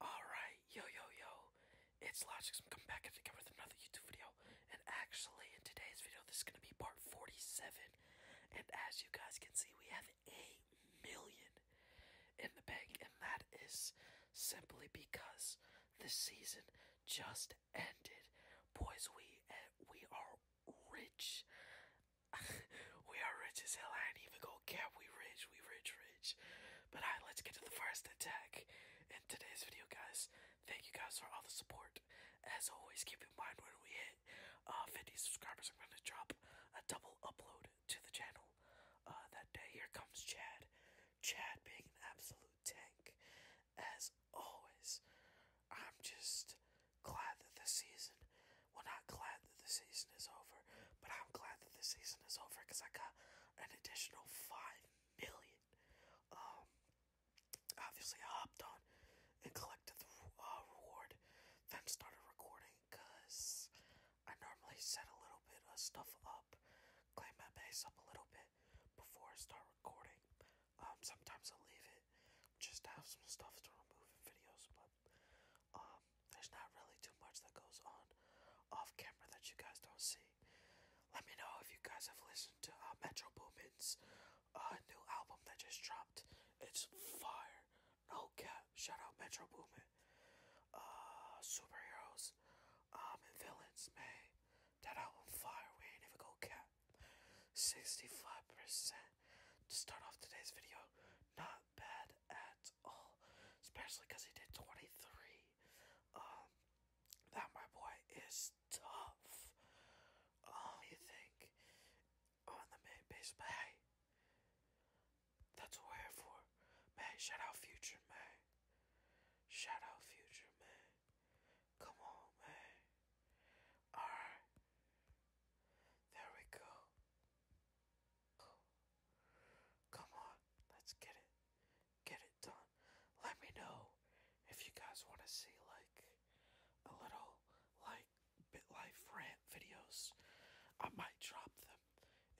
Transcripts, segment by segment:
Alright, yo yo yo, it's Logix, I'm coming back again with another YouTube video, and actually in today's video this is going to be part 47, and as you guys can see we have 8 million in the bank, and that is simply because the season just ended. Boys, we, eh, we are rich. we are rich as hell. I ain't even gonna care. We rich. We rich, rich. But alright, let's get to the first attack in today's video, guys. Thank you guys for all the support. As always, keep in mind when we hit uh, 50 subscribers, I'm going to drop a double upload to the channel uh, that day. Here comes Chad. Chad being an absolute tank. As always, I'm just glad that this season, we're not glad that the season is over, but I'm glad that the season is over because I got an additional five million. Um, obviously I hopped on and collected the uh, reward, then started recording because I normally set a little bit of stuff up, clean my base up a little bit before I start recording. Um, sometimes i leave it just to have some stuff to remove in videos, but um, there's not really too much that goes on off camera that you guys don't see. Let me know if you guys have listened to uh, Metro Boomin's uh, new album that just dropped. It's fire. No cap. Shout out Metro Boomin. Uh, superheroes um, and villains, man. That album fire. We ain't even go cap. 65% to start off today's video. Not bad at Especially because he did 23. Um, that, my boy, is tough. Um, you think on oh, the main base, but that's what for. Man, shout out Future, man. Shout out Future, man. Come on, man. Alright. There we go. Come on, let's get it. Get it done. Let me know if you guys want to see like a little like BitLife rant videos. I might drop them.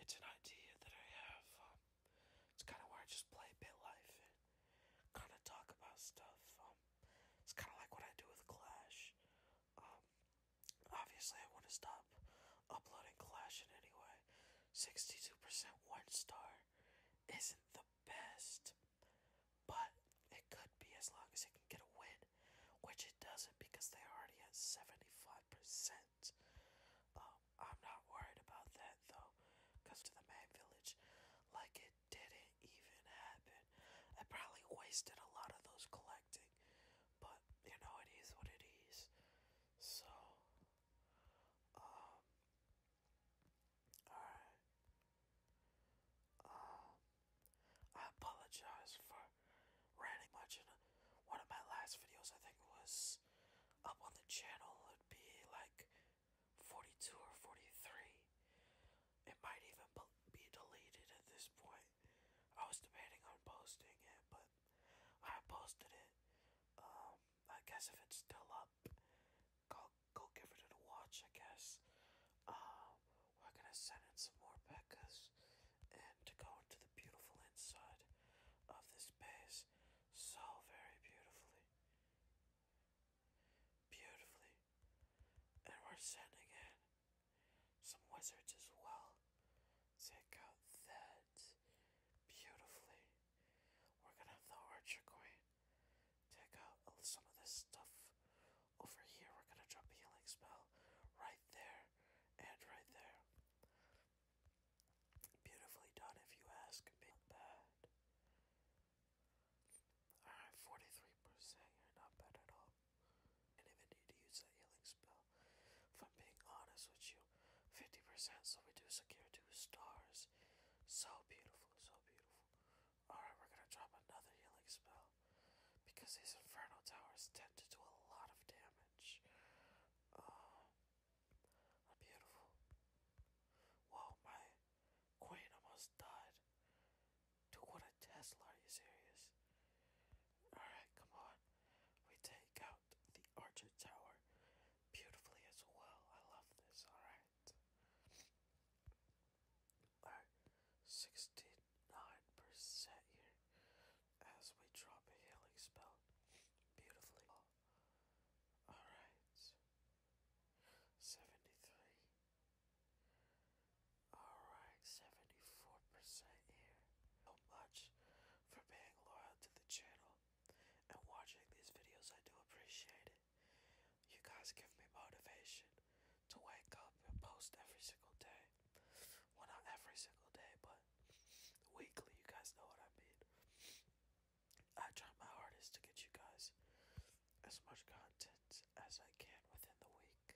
It's an idea that I have. Um, it's kind of where I just play BitLife and kind of talk about stuff. Um, it's kind of like what I do with Clash. Um, obviously I want to stop uploading Clash in any way. 62% one star isn't the best, but it could be as long as it can get a win, which it doesn't because they already at 75%. Um, I'm not worried about that though, because to the man village, like it didn't even happen. I probably wasted a lot of those collecting, but you know it is what it is. So, um, alright. Um, I apologize for ranting much in one of my last videos. I think was up on the channel. It'd be like 42 or 43. It might even be deleted at this point. I was debating on posting it, but I posted it. Um, I guess if it's still up, go go give it a watch. I guess. Um, we're gonna send in some more Beccas, and to go into the beautiful inside of this base, so very beautifully, beautifully, and we're sending in some wizards as well take out that beautifully. We're gonna have the Archer Queen take out some of this stuff over here. We're gonna drop a healing spell right there and right there. Beautifully done, if you ask me. bad. Alright, 43%, you're not bad at all and even need to use that healing spell. If I'm being honest with you, 50% so we do secure two stars. So beautiful, so beautiful. Alright, we're gonna drop another healing spell. Because these infernal Towers tend to do a lot of damage. Uh, beautiful. Whoa, my queen almost died. Dude, what a Tesla, are you serious? Alright, come on. We take out the Archer Tower beautifully as well. I love this. Alright. Alright. 69% here as we drop a healing spell beautifully. Alright. 73. Alright, 74% here. So much for being loyal to the channel and watching these videos. I do appreciate it. You guys give me motivation to wake up and post every single day. Well, not every single day, but weekly. You guys know what I mean. I try my hardest to get you guys as much content as I can within the week like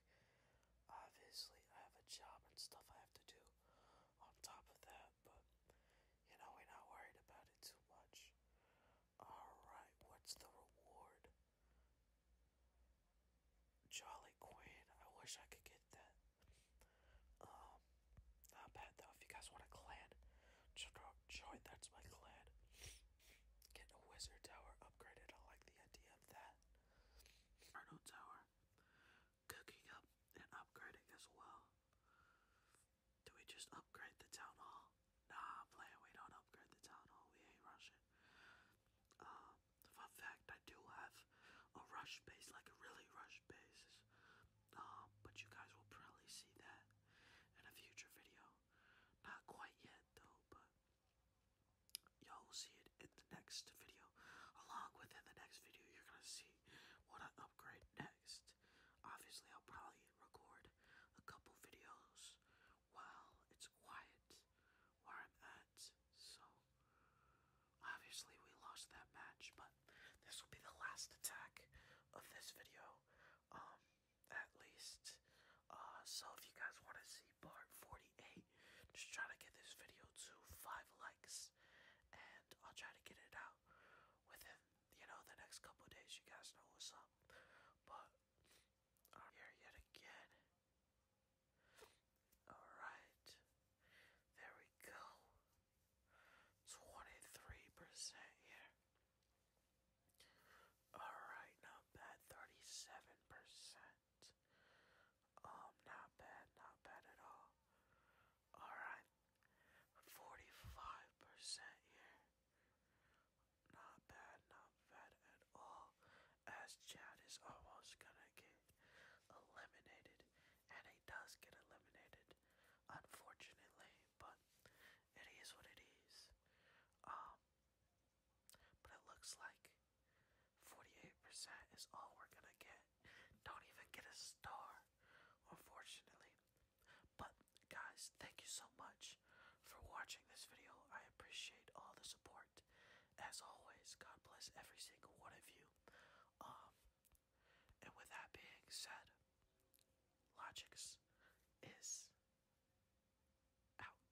obviously I have a job and stuff I have to do on top of that, but you know we're not worried about it too much. Alright, what's the reward? Jolly Queen, I wish I could get that. Um not bad though if you guys want a clan join that's my clan. Get a wizard tower upgraded, I like the idea of that. Arnold Tower, cooking up and upgrading as well. Do we just upgrade the town hall? Nah, player, we don't upgrade the town hall. We ain't rushing. Uh, fun fact, I do have a rush base, like a really rush base. Um, but you guys will probably see that in a future video. Not quite yet though, but Y'all will see it in the next video. Along within the next video, you're gonna see what I upgrade next. Obviously, I'll probably record a couple videos while it's quiet where I'm at. So, obviously, we lost that match, but this will be the last attack of this video, um, at least. Uh, so, if you guys want to see part 48 just trying to get this video to five likes, and I'll try to get it out within you know the next couple days. You guys know what's up, but I'm here yet again. All right, there we go. Twenty-three percent here. All right, not bad. Thirty-seven percent. Um, not bad, not bad at all. Alright, 45% here. Not bad, not bad at all. As Chad is almost gonna get eliminated, and he does get eliminated, unfortunately, but it is what it is. Um, but it looks like 48% is all we're gonna get. Don't even get a star, unfortunately. But guys, thank you so much for watching this video. I appreciate all the support. As always, God bless every single one of you. Um, and with that being said, Logix is out.